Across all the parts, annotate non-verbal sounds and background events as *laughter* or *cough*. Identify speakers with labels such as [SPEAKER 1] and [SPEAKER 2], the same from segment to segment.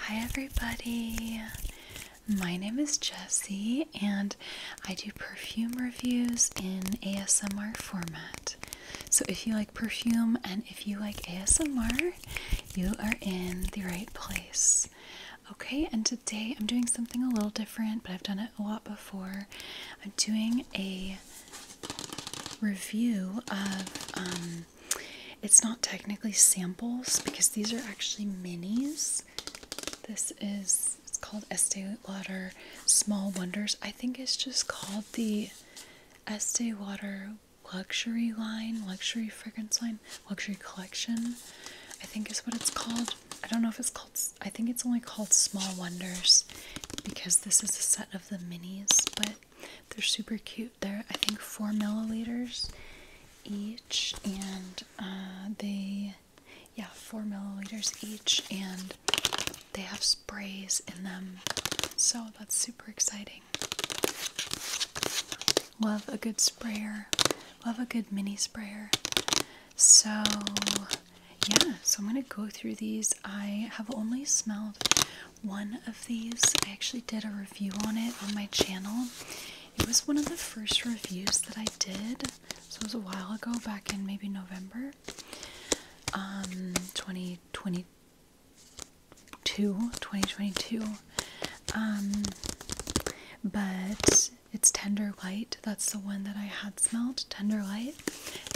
[SPEAKER 1] Hi, everybody. My name is Jessie, and I do perfume reviews in ASMR format. So, if you like perfume and if you like ASMR, you are in the right place. Okay, and today I'm doing something a little different, but I've done it a lot before. I'm doing a review of um, it's not technically samples because these are actually minis. This is it's called Estee Lauder Small Wonders. I think it's just called the Estee Lauder Luxury Line, Luxury Fragrance Line, Luxury Collection. I think is what it's called. I don't know if it's called. I think it's only called Small Wonders because this is a set of the minis, but they're super cute. They're, I think, four milliliters each, and uh, they, yeah, four milliliters each, and they have sprays in them. So that's super exciting. Love a good sprayer. Love a good mini sprayer. So, yeah, so I'm going to go through these. I have only smelled one of these. I actually did a review on it on my channel. It was one of the first reviews that I did. So it was a while ago, back in maybe November um, 2022. 2022. Um, but it's Tender Light. That's the one that I had smelled, Tender Light.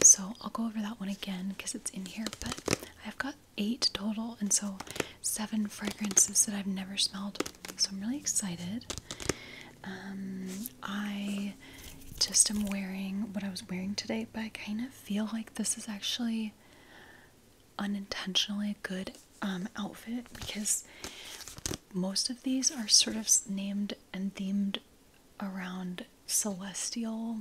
[SPEAKER 1] So I'll go over that one again because it's in here. But I've got eight total, and so seven fragrances that I've never smelled. So I'm really excited. Um, I just am wearing what I was wearing today, but I kind of feel like this is actually unintentionally a good um, outfit because most of these are sort of named and themed around celestial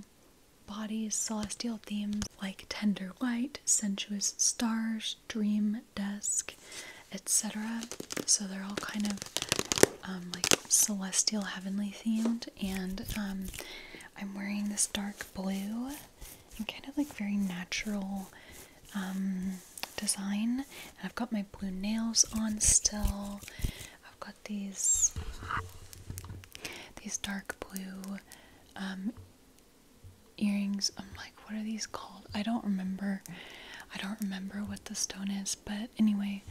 [SPEAKER 1] bodies, celestial themes like tender light, sensuous stars, dream desk, etc. So they're all kind of um, like celestial, heavenly themed. And um, I'm wearing this dark blue and kind of like very natural um, design. I've got my blue nails on still. I've got these these dark blue earrings. I'm like, what are these called? I don't remember. I don't remember what the stone is, but anyway,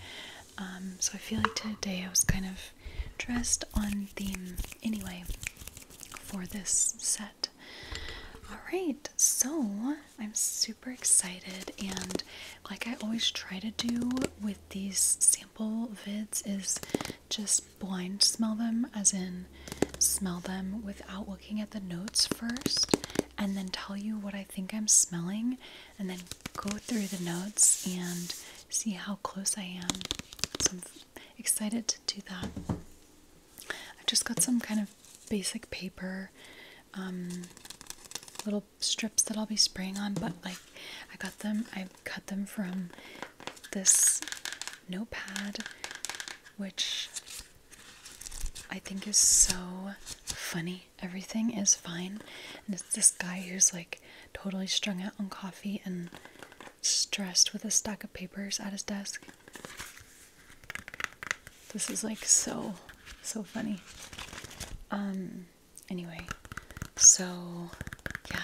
[SPEAKER 1] um, so I feel like today I was kind of dressed on theme anyway for this set. Alright, so I'm super excited, and like I always try to do with these sample vids, is just blind smell them, as in smell them without looking at the notes first, and then tell you what I think I'm smelling, and then go through the notes and see how close I am. So I'm excited to do that. I've just got some kind of basic paper, um, little strips that I'll be spraying on, but like I got them, I cut them from this notepad, which I think is so funny. Everything is fine, and it's this guy who's like totally strung out on coffee and stressed with a stack of papers at his desk. This is like so, so funny. Um, anyway, so yeah.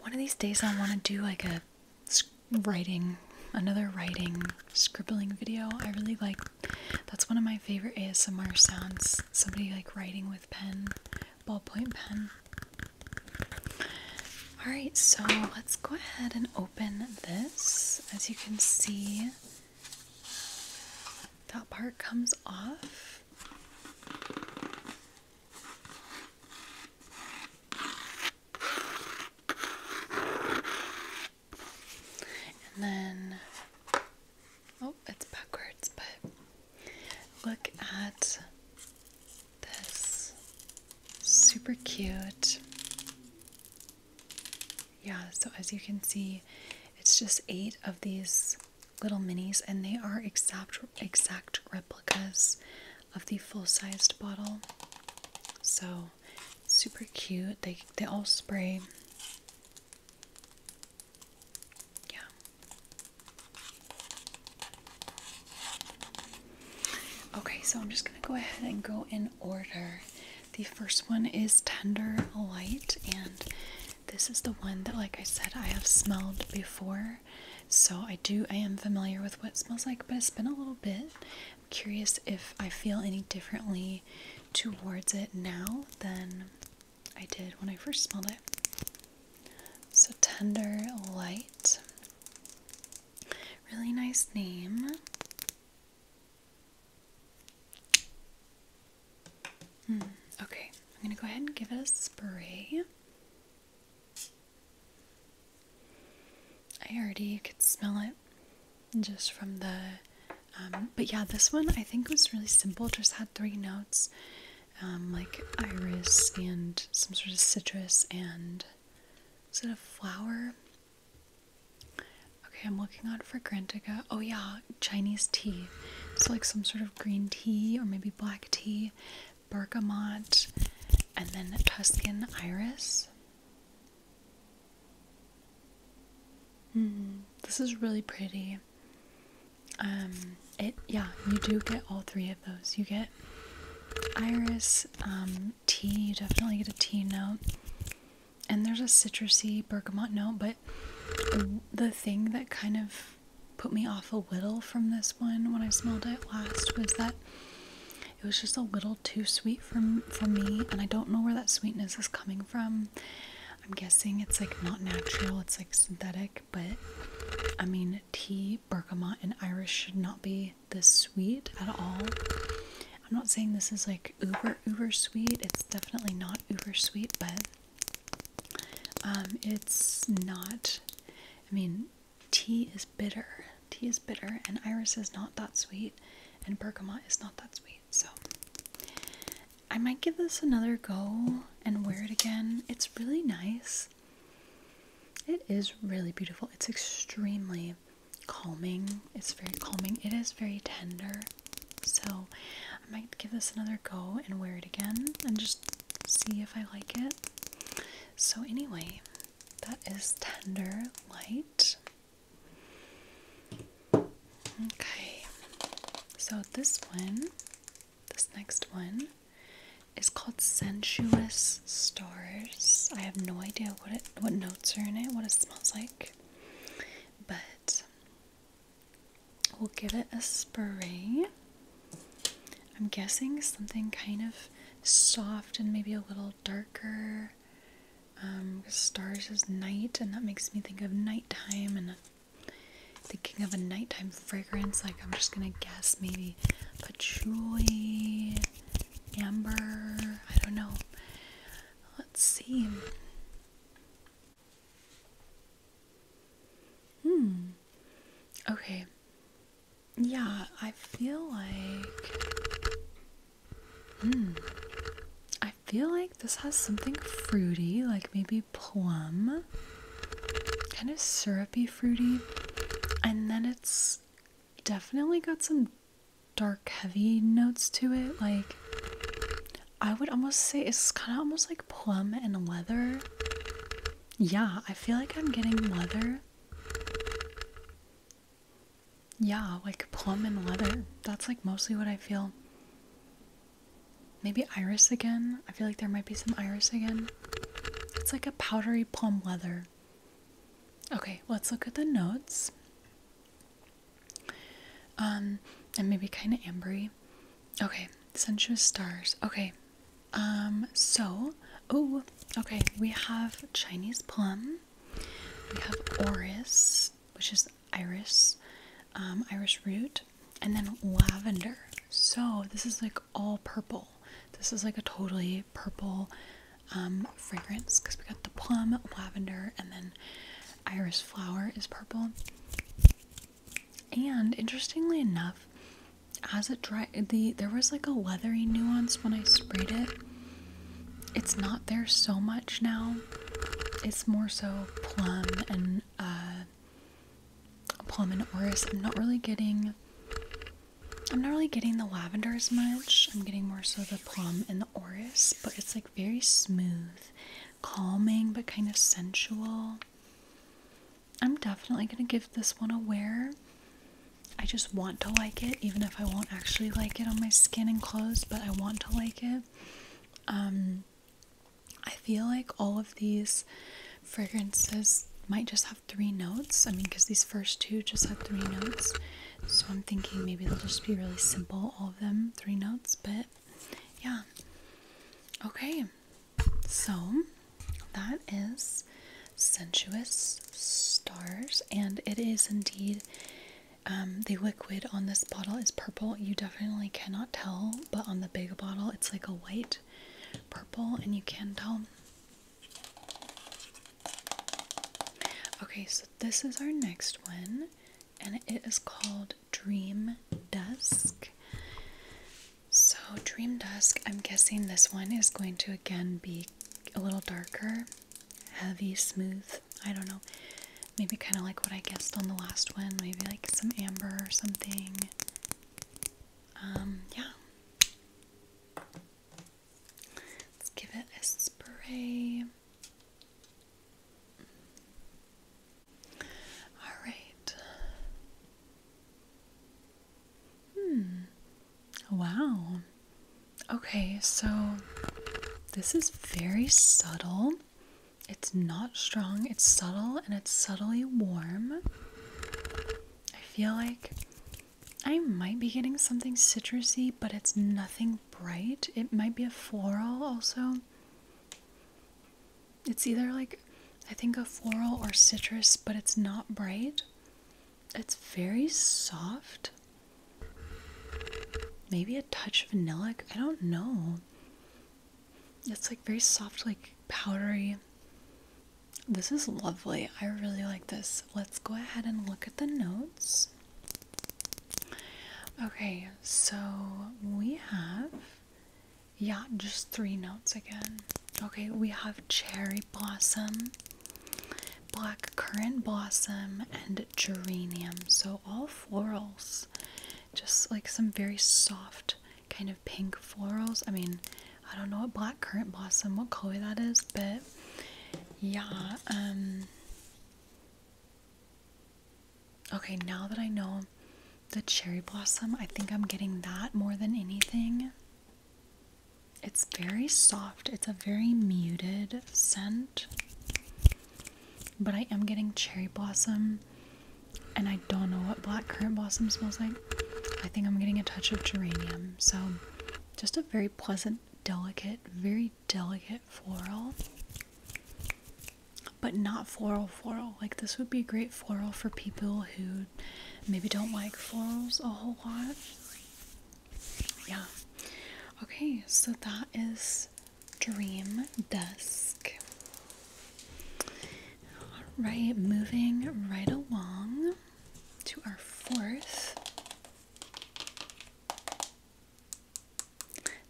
[SPEAKER 1] One of these days, I want to do like a writing, another writing, scribbling video. I really like that's one of my favorite ASMR sounds. Somebody like writing with pen, ballpoint pen. Alright, so let's go ahead and open this. As you can see, that part comes off. And then, oh, it's backwards, but look at this super cute. Yeah, so as you can see, it's just eight of these little minis, and they are exact exact replicas of the full-sized bottle. So super cute. They they all spray. Yeah. Okay, so I'm just gonna go ahead and go in order. The first one is Tender Light, and this is the one that, like I said, I have smelled before so I do I am familiar with what it smells like, but it's been a little bit. I'm curious if I feel any differently towards it now than I did when I first smelled it. So tender light. Really nice name. Hmm, okay, I'm gonna go ahead and give it a spray. I already could smell it just from the. Um, but yeah, this one I think was really simple. Just had three notes, um, like iris and some sort of citrus and it a flower. Okay, I'm looking out for Grantica. Oh yeah, Chinese tea. It's like some sort of green tea or maybe black tea, bergamot, and then Tuscan iris. Hmm, this is really pretty. Um, it yeah, you do get all three of those. You get iris, um, tea. You definitely get a tea note, and there's a citrusy bergamot note. But the thing that kind of put me off a little from this one when I smelled it last was that it was just a little too sweet for, for me, and I don't know where that sweetness is coming from. I'm guessing it's like not natural, it's like synthetic, but I mean, tea, bergamot, and Irish should not be this sweet at all. I'm not saying this is like uber, uber sweet, it's definitely not uber sweet, but um, it's not, I mean, tea is bitter. Tea is bitter, and iris is not that sweet, and bergamot is not that sweet. So, I might give this another go and wear it again. It's really nice. It is really beautiful. It's extremely calming. It's very calming. It is very tender. So, I might give this another go and wear it again and just see if I like it. So, anyway, that is Tender Light. Okay, so this one, this next one, is called Sensuous Stars. I have no idea what it, what notes are in it, what it smells like, but We'll give it a spray. I'm guessing something kind of soft and maybe a little darker. Um, stars is night, and that makes me think of nighttime and thinking of a nighttime fragrance. Like, I'm just gonna guess maybe patchouli, amber, I don't know. Let's see. Hmm. Okay. Yeah, I feel like. Hmm, I feel like this has something fruity, like maybe plum. Kind of syrupy fruity. And then it's definitely got some dark, heavy notes to it. Like, I would almost say it's kind of almost like plum and leather. Yeah, I feel like I'm getting leather. Yeah, like plum and leather. That's like mostly what I feel. Maybe iris again. I feel like there might be some iris again. It's like a powdery plum leather. Okay, let's look at the notes. Um, and maybe kind of ambery. Okay, sensuous stars. Okay, um, so, oh, okay, we have Chinese plum, we have orris, which is iris, um, iris root, and then lavender. So, this is like all purple. This is like a totally purple um, fragrance because we got the plum, lavender, and then iris flower is purple. And interestingly enough, as it dried, the there was like a leathery nuance when I sprayed it. It's not there so much now. It's more so plum and a uh, plum and orris. I'm not really getting. I'm not really getting the lavender as much. I'm getting more so the plum and the orris, but it's like very smooth, calming, but kind of sensual. I'm definitely gonna give this one a wear. I just want to like it, even if I won't actually like it on my skin and clothes, but I want to like it. Um, I feel like all of these fragrances might just have three notes. I mean, because these first two just had three notes. So I'm thinking maybe they'll just be really simple, all of them, three notes. But yeah. Okay. So that is Sensuous Stars, and it is indeed um, the liquid on this bottle is purple. You definitely cannot tell, but on the big bottle, it's like a white purple, and you can tell. Okay, so this is our next one, and it is called Dream Dusk. So, Dream Dusk, I'm guessing this one is going to again be a little darker, heavy, smooth. I don't know. Maybe kind of like what I guessed on the last one. Maybe like some amber or something. Um, yeah. Let's give it a spray. All right. Hmm. Wow. Okay, so this is very subtle. It's not strong, it's subtle, and it's subtly warm. I feel like I might be getting something citrusy, but it's nothing bright. It might be a floral also. It's either like I think a floral or citrus, but it's not bright. It's very soft. Maybe a touch vanilla. I don't know. It's like very soft, like powdery. This is lovely. I really like this. Let's go ahead and look at the notes. Okay, so we have yeah, just three notes again. Okay, we have cherry blossom, black currant blossom, and geranium. So all florals. Just like some very soft kind of pink florals. I mean, I don't know what black currant blossom, what color that is, but yeah, um, Okay, now that I know the cherry blossom. I think I'm getting that more than anything. It's very soft, it's a very muted scent, but I am getting cherry blossom, and I don't know what black currant blossom smells like. I think I'm getting a touch of geranium, so just a very pleasant, delicate, very delicate floral but not floral floral. Like this would be great floral for people who maybe don't like florals a whole lot. Yeah. Okay, so that is Dream Dusk. Alright, moving right along to our fourth.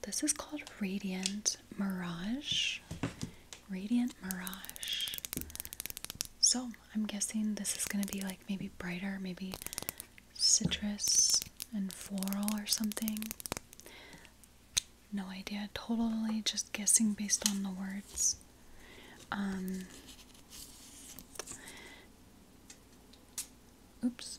[SPEAKER 1] This is called Radiant Mirage. Radiant Mirage. So I'm guessing this is going to be like maybe brighter, maybe citrus and floral or something. No idea. Totally just guessing based on the words. Um, oops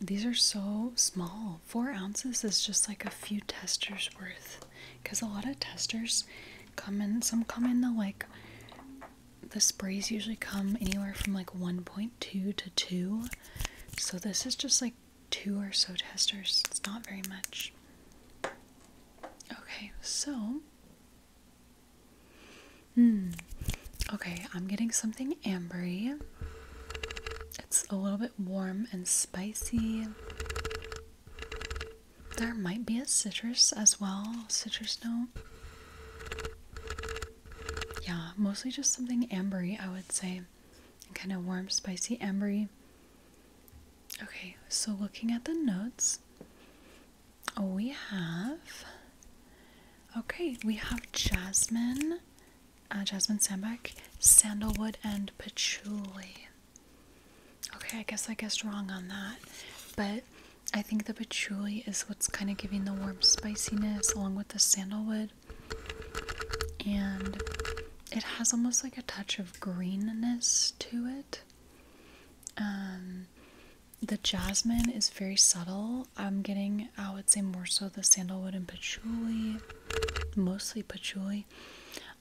[SPEAKER 1] these are so small. Four ounces is just like a few testers worth. Because a lot of testers come in, some come in the like, the sprays usually come anywhere from like 1.2 to 2. So this is just like two or so testers. It's not very much. Okay, so. Hmm. Okay, I'm getting something ambery. It's a little bit warm and spicy. There might be a citrus as well, citrus note. Yeah, mostly just something ambery, I would say. Kind of warm, spicy, ambery. Okay, so looking at the notes, we have. Okay, we have jasmine, uh, jasmine Sandbeck, Sandalwood, and Patchouli. Okay, I guess I guessed wrong on that, but I think the patchouli is what's kind of giving the warm spiciness along with the sandalwood. And it has almost like a touch of greenness to it. Um, the jasmine is very subtle. I'm getting, I would say, more so the sandalwood and patchouli mostly patchouli.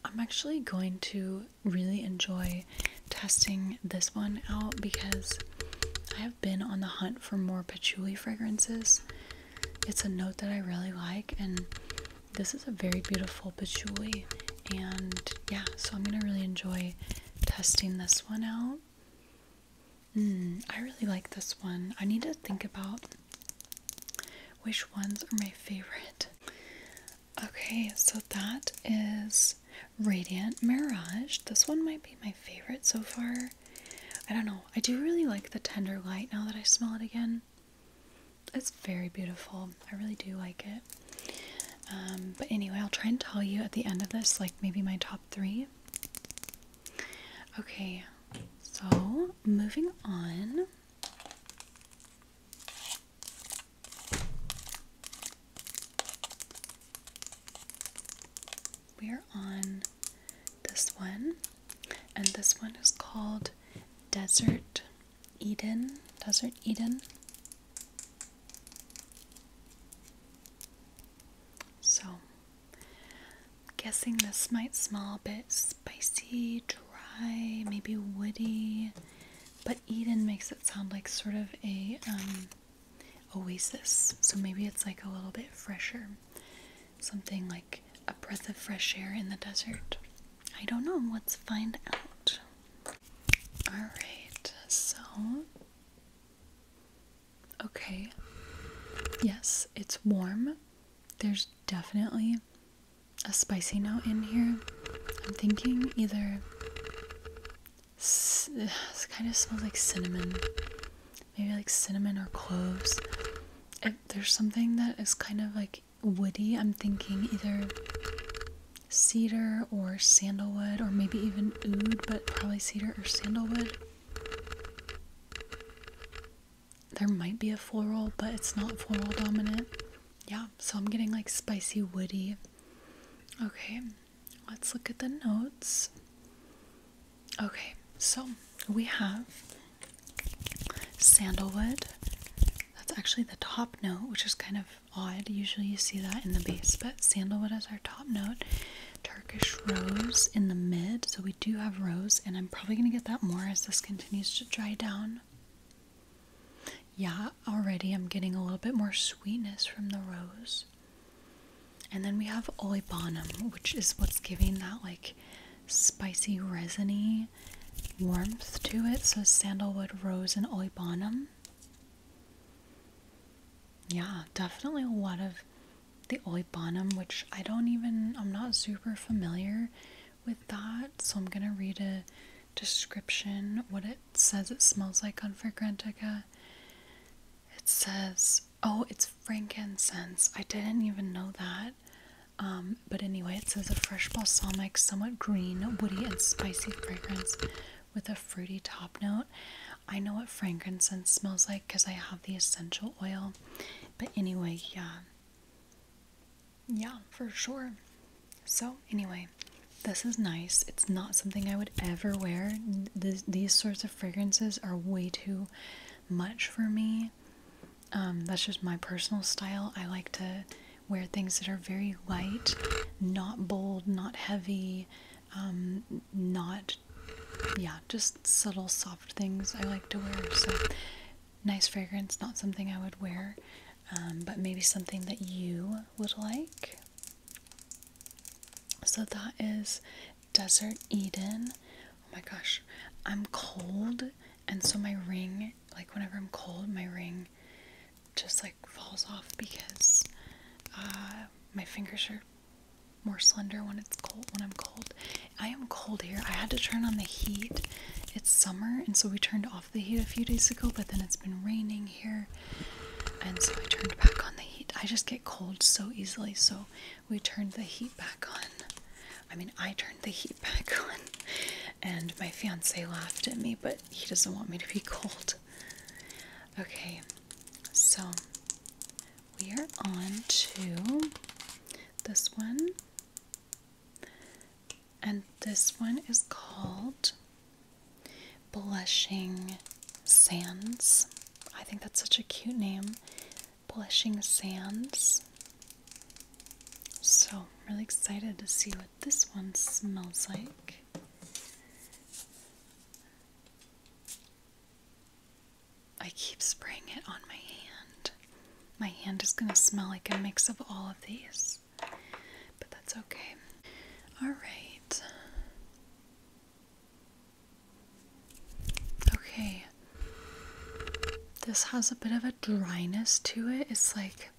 [SPEAKER 1] I'm actually going to really enjoy testing this one out because I have been on the hunt for more patchouli fragrances. It's a note that I really like, and this is a very beautiful patchouli. And yeah, so I'm gonna really enjoy testing this one out. Mm, I really like this one. I need to think about which ones are my favorite? Okay, so that is Radiant Mirage. This one might be my favorite so far. I don't know. I do really like the tender light now that I smell it again. It's very beautiful. I really do like it. Um, but anyway, I'll try and tell you at the end of this, like maybe my top three. Okay, so moving on. We are on this one, and this one is called Desert Eden. Desert Eden. So I'm guessing this might smell a bit spicy, dry, maybe woody, but Eden makes it sound like sort of a um, oasis. So maybe it's like a little bit fresher, something like a breath of fresh air in the desert. I don't know. Let's find out. All right. So, okay. Yes, it's warm. There's definitely a spicy note in here. I'm thinking either. It kind of smells like cinnamon. Maybe like cinnamon or cloves. If there's something that is kind of like woody, I'm thinking either cedar or sandalwood, or maybe even oud, but probably cedar or sandalwood there might be a floral, but it's not floral dominant. Yeah, so I'm getting like spicy woody. Okay, let's look at the notes. Okay, so we have sandalwood. That's actually the top note, which is kind of odd. Usually you see that in the base, but sandalwood is our top note. Turkish rose in the mid, so we do have rose, and I'm probably going to get that more as this continues to dry down. Yeah, already I'm getting a little bit more sweetness from the rose. And then we have olibanum, which is what's giving that like spicy resiny warmth to it. So sandalwood, rose, and olibanum. Yeah, definitely a lot of the Oibanum, which I don't even, I'm not super familiar with that. So I'm going to read a description, what it says it smells like on Fragrantica. It says, oh, it's frankincense. I didn't even know that. Um, but anyway, it says a fresh balsamic, somewhat green, woody, and spicy fragrance with a fruity top note. I know what frankincense smells like because I have the essential oil. But anyway, yeah, yeah, for sure. So, anyway, this is nice. It's not something I would ever wear. these sorts of fragrances are way too much for me. Um, that's just my personal style. I like to wear things that are very light, not bold, not heavy, um, not, yeah, just subtle, soft things I like to wear. So, nice fragrance, not something I would wear, um, but maybe something that you would like. So that is Desert Eden. Oh my gosh, I'm cold, and so my ring, like whenever I'm cold, my ring just like falls off because uh, my fingers are more slender when it's cold when I'm cold I am cold here. I had to turn on the heat. It's summer, and so we turned off the heat a few days ago, but then it's been raining here, and so I turned back on the heat. I just get cold so easily, so we turned the heat back on. I mean, I turned the heat *laughs* back on, and my fiance laughed at me, but he doesn't want me to be cold. Okay, so we are on to this one. And this one is called Blushing Sands. I think that's such a cute name. Blushing Sands. So, really excited to see what this one smells like. I keep spraying it on my hand. My hand is going to smell like a mix of all of these, but that's okay. Alright. Okay. This has a bit of a dryness to it. It's like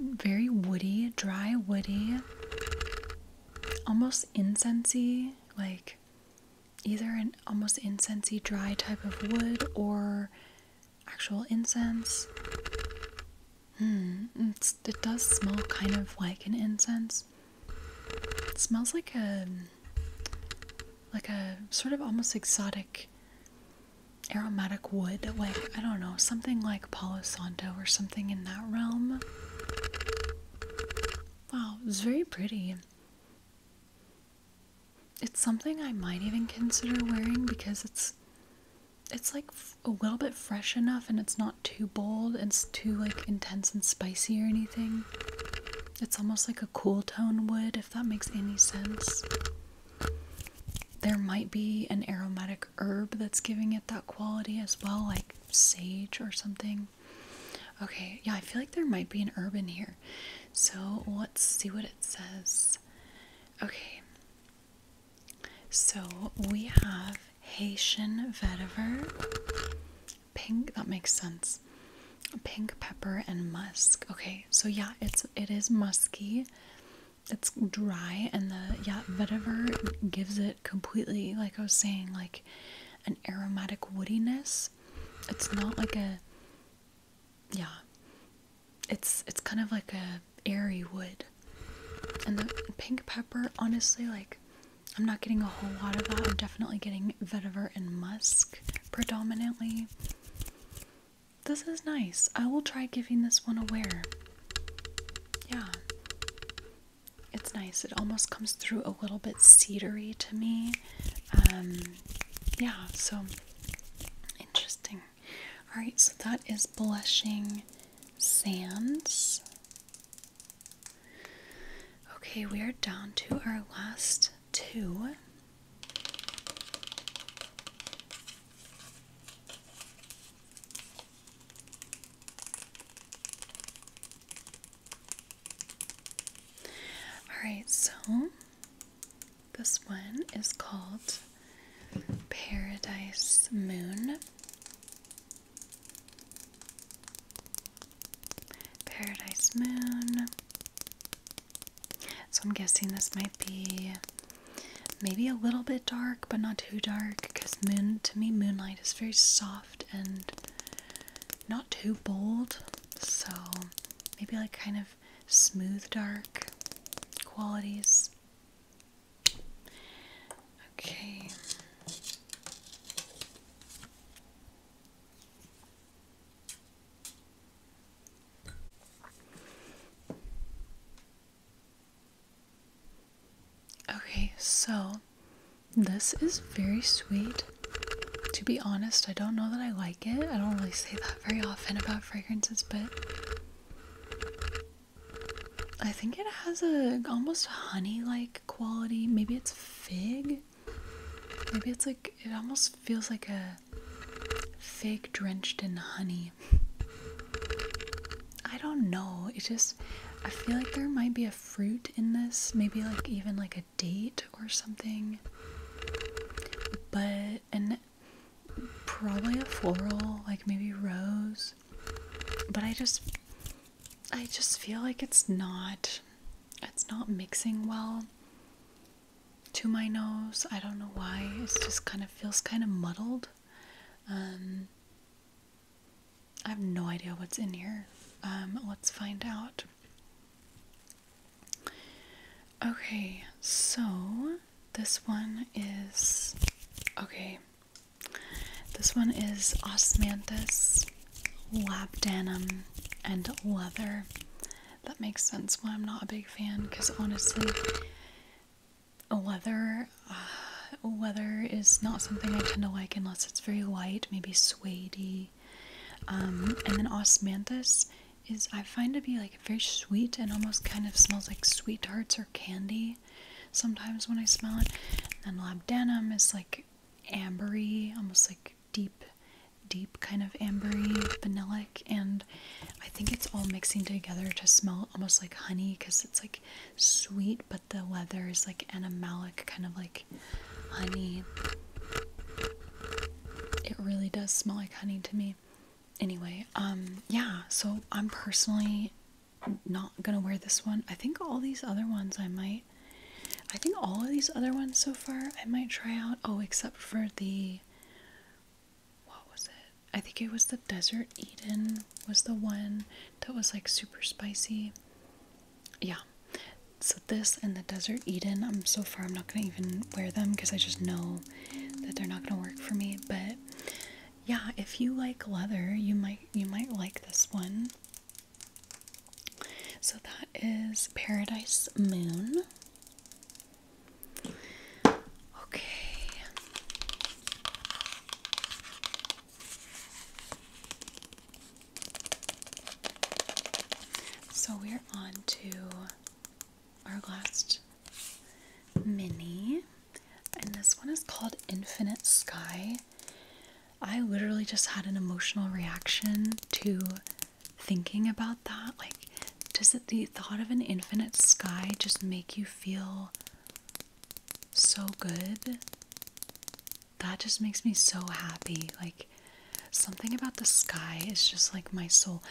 [SPEAKER 1] very woody, dry, woody, almost incensey, like either an almost incensey dry type of wood or actual incense. Hmm, it does smell kind of like an incense. It smells like a like a sort of almost exotic aromatic wood, like I don't know, something like Palo Santo or something in that realm. Wow, it's very pretty it's something I might even consider wearing because it's it's like a little bit fresh enough and it's not too bold and too like intense and spicy or anything. It's almost like a cool tone wood if that makes any sense. There might be an aromatic herb that's giving it that quality as well like sage or something. Okay, yeah, I feel like there might be an urban here. So let's see what it says. Okay. So we have Haitian vetiver, pink, that makes sense. Pink pepper and musk. Okay, so yeah, it's it is musky. It's dry and the yeah, vetiver gives it completely like I was saying like an aromatic woodiness it's not like a yeah it's it's kind of like a airy wood and the pink pepper honestly like i'm not getting a whole lot of that i'm definitely getting vetiver and musk predominantly this is nice i will try giving this one a wear yeah it's nice it almost comes through a little bit cedary to me um yeah, so interesting. Alright, so that is Blushing Sands. Okay, we are down to our last two. Alright, so this one is called Paradise Moon. Paradise Moon. So I'm guessing this might be maybe a little bit dark, but not too dark, because moon to me moonlight is very soft and not too bold. So maybe like kind of smooth dark qualities. Okay. Okay, so this is very sweet. To be honest, I don't know that I like it. I don't really say that very often about fragrances, but I think it has a almost honey-like quality. Maybe it's fig. Maybe it's like it almost feels like a fig drenched in honey. I don't know. It just I feel like there might be a fruit in this, maybe like even like a date or something, but and probably a floral, like maybe rose. But I just, I just feel like it's not, it's not mixing well to my nose. I don't know why. It just kind of feels kind of muddled. Um, I have no idea what's in here. Um, let's find out. Okay, so this one is okay. This one is osmanthus, labdanum, and leather. That makes sense why I'm not a big fan because honestly, leather, uh, leather is not something I tend to like unless it's very light, maybe suede um, and then osmanthus is I find to be like very sweet and almost kind of smells like sweet tarts or candy sometimes when I smell it. And labdanum is like ambery, almost like deep, deep kind of ambery, vanillic, and I think it's all mixing together to smell almost like honey because it's like sweet, but the leather is like animalic, kind of like honey. It really does smell like honey to me. Anyway, um, yeah, so I'm personally not gonna wear this one. I think all these other ones I might. I think all of these other ones so far I might try out. Oh, except for the. What was it? I think it was the Desert Eden, was the one that was like super spicy. Yeah, so this and the Desert Eden, I'm so far I'm not gonna even wear them because I just know that they're not gonna work for me. But yeah, if you like leather, you might you might like this one. So that is Paradise Moon. Okay. So we're on to our last mini, and this one is called Infinite Sky. I literally just had an emotional reaction to thinking about that. Like, does the thought of an infinite sky just make you feel so good? That just makes me so happy. Like, something about the sky is just like my soul.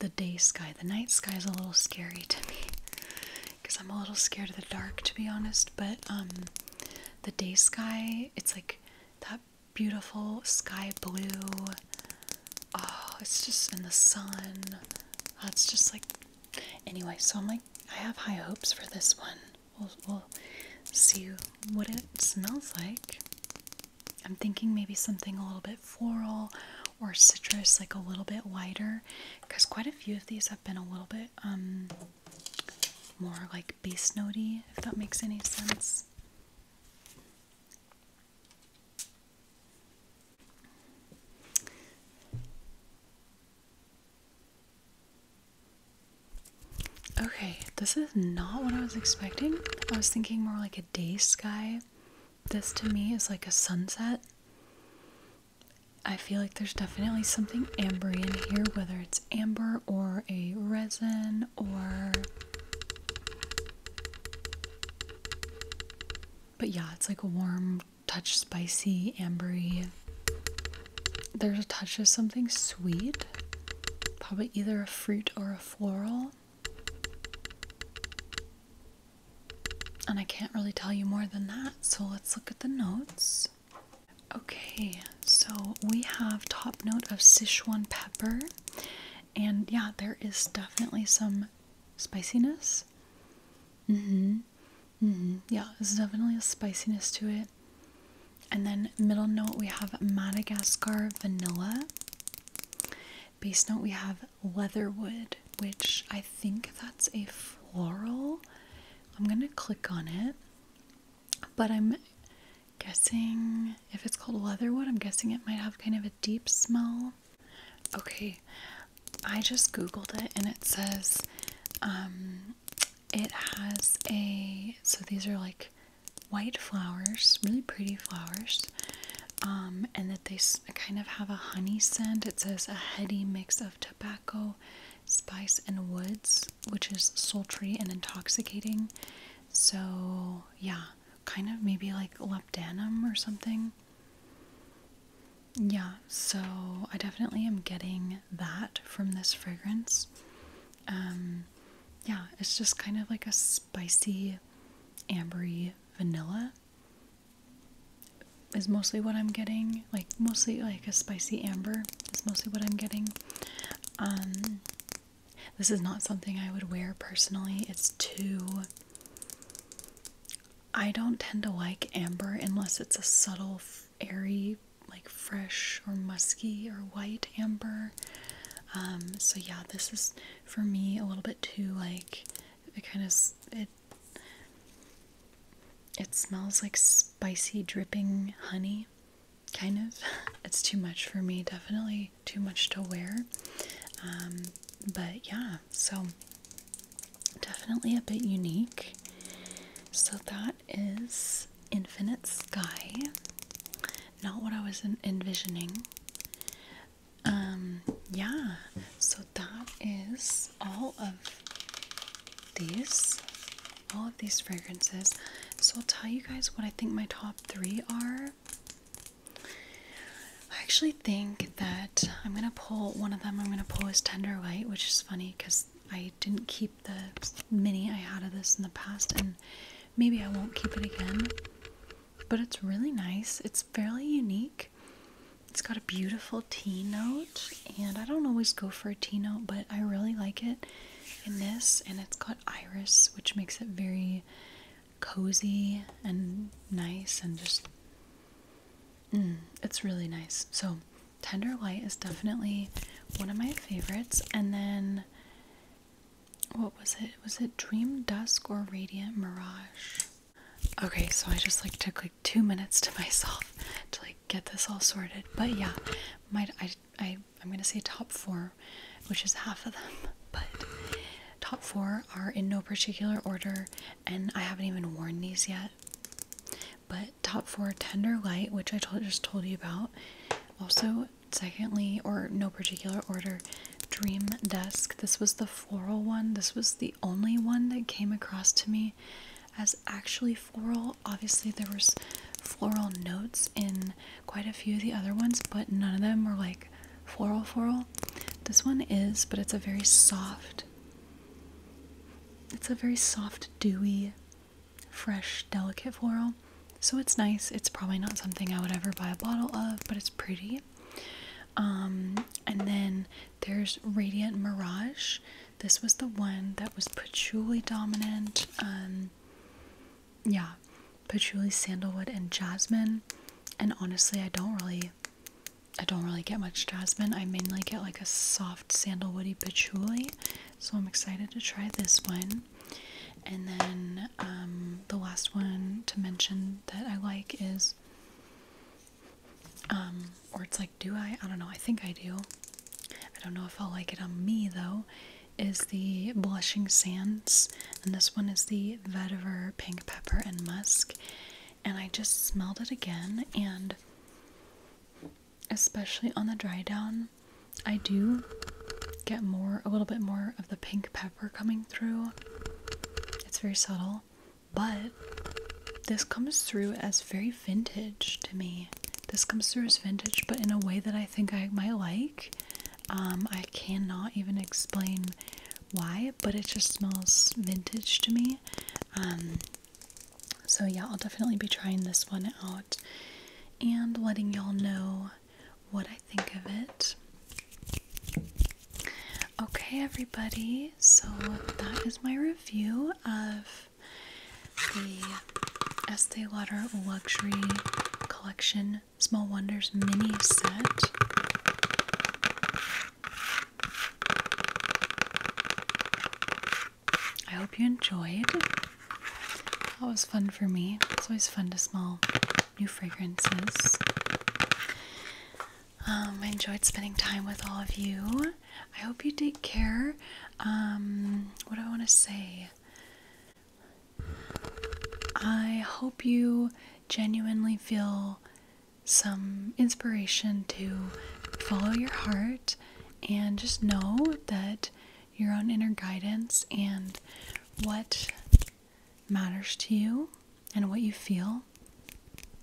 [SPEAKER 1] The day sky, the night sky is a little scary to me because I'm a little scared of the dark to be honest, but um the day sky, it's like that beautiful sky blue. Oh, it's just in the sun. That's just like anyway, so I'm like I have high hopes for this one. we'll see what it smells like. I'm thinking maybe something a little bit floral or citrus, like a little bit lighter, because quite a few of these have been a little bit um, more like base notey, if that makes any sense. Okay, this is not what I was expecting. I was thinking more like a day sky. This to me is like a sunset. I feel like there's definitely something amber in here, whether it's amber or a resin or. But yeah, it's like a warm touch, spicy, ambery. There's a touch of something sweet, probably either a fruit or a floral. And I can't really tell you more than that, so let's look at the notes. Okay, so we have top note of Sichuan pepper, and yeah, there is definitely some spiciness. Mm hmm. Mm hmm. Yeah, there's definitely a spiciness to it. And then middle note, we have Madagascar vanilla. Base note, we have leatherwood, which I think that's a floral. I'm going to click on it. But I'm guessing if it's called leatherwood, I'm guessing it might have kind of a deep smell. Okay, I just googled it and it says um, it has a so these are like white flowers, really pretty flowers, um, and that they kind of have a honey scent. It says a heady mix of tobacco, spice, and woods, which is sultry and intoxicating. So, yeah, kind of maybe like lepdanum or something. Yeah, so I definitely am getting that from this fragrance. Um, yeah, it's just kind of like a spicy, ambery vanilla is mostly what I'm getting. Like mostly like a spicy amber is mostly what I'm getting. Um this is not something I would wear personally. It's too I don't tend to like amber unless it's a subtle, airy, like fresh or musky or white amber. Um, so yeah, this is for me a little bit too like it kind of it it smells like spicy dripping honey kind of *laughs* it's too much for me definitely too much to wear um, but yeah so definitely a bit unique so that is infinite sky not what I was envisioning. Um, yeah, so that is all of these, all of these fragrances. So I'll tell you guys what I think my top three are. I actually think that I'm gonna pull one of them. I'm gonna pull is Tender Light, which is funny because I didn't keep the mini I had of this in the past, and maybe I won't keep it again. But it's really nice. It's fairly unique. It's got a beautiful tea note, and I don't always go for a tea note, but I really like it in this. And it's got iris, which makes it very cozy and nice and just. Mm, it's really nice. So, Tender White is definitely one of my favorites. And then what was it? Was it Dream Dusk or Radiant Mirage? Okay, so I just like took like two minutes to *laughs* myself to like get this all sorted. But yeah, my I I I'm gonna say top four, which is half of them, *laughs* but top four are in no particular order, and I haven't even worn these yet. But top four Tender Light, which I just told you about. Also, secondly, or no particular order, Dream Desk. This was the floral one. This was the only one that came across to me as actually floral. Obviously, there was floral notes in quite a few of the other ones, but none of them were like floral floral. This one is, but it's a very soft. It's a very soft, dewy, fresh, delicate floral so it's nice. It's probably not something I would ever buy a bottle of, but it's pretty. Um, and then there's Radiant Mirage. This was the one that was patchouli dominant. Um, yeah, patchouli, sandalwood, and jasmine. And honestly, I don't really, I don't really get much jasmine. I mainly get like a soft sandalwoody patchouli. So I'm excited to try this one. And then um, the last one to mention that I like is, um, or it's like, do I? I don't know. I think I do. I don't know if I'll like it on me though. Is the Blushing Sands, and this one is the vetiver pink pepper and musk. And I just smelled it again, and especially on the dry down, I do get more, a little bit more of the pink pepper coming through. It's very subtle, but this comes through as very vintage to me. This comes through as vintage, but in a way that I think I might like. Um, I cannot even explain why, but it just smells vintage to me. Um, so, yeah, I'll definitely be trying this one out and letting y'all know what I think of it. Okay, everybody, so that is my review of the Estee Lauder Luxury Collection Small Wonders mini set. I hope you enjoyed. That was fun for me. It's always fun to smell new fragrances. Um, I enjoyed spending time with all of you. I hope you take care. Um, what do I want to say? I hope you genuinely feel some inspiration to follow your heart and just know that your own inner guidance and what matters to you and what you feel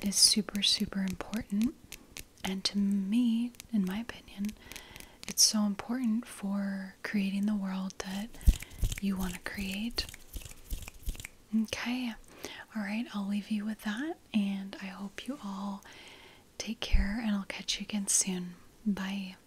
[SPEAKER 1] is super, super important. And to me, in my opinion, it's so important for creating the world that you want to create. Okay. All right. I'll leave you with that. And I hope you all take care and I'll catch you again soon. Bye.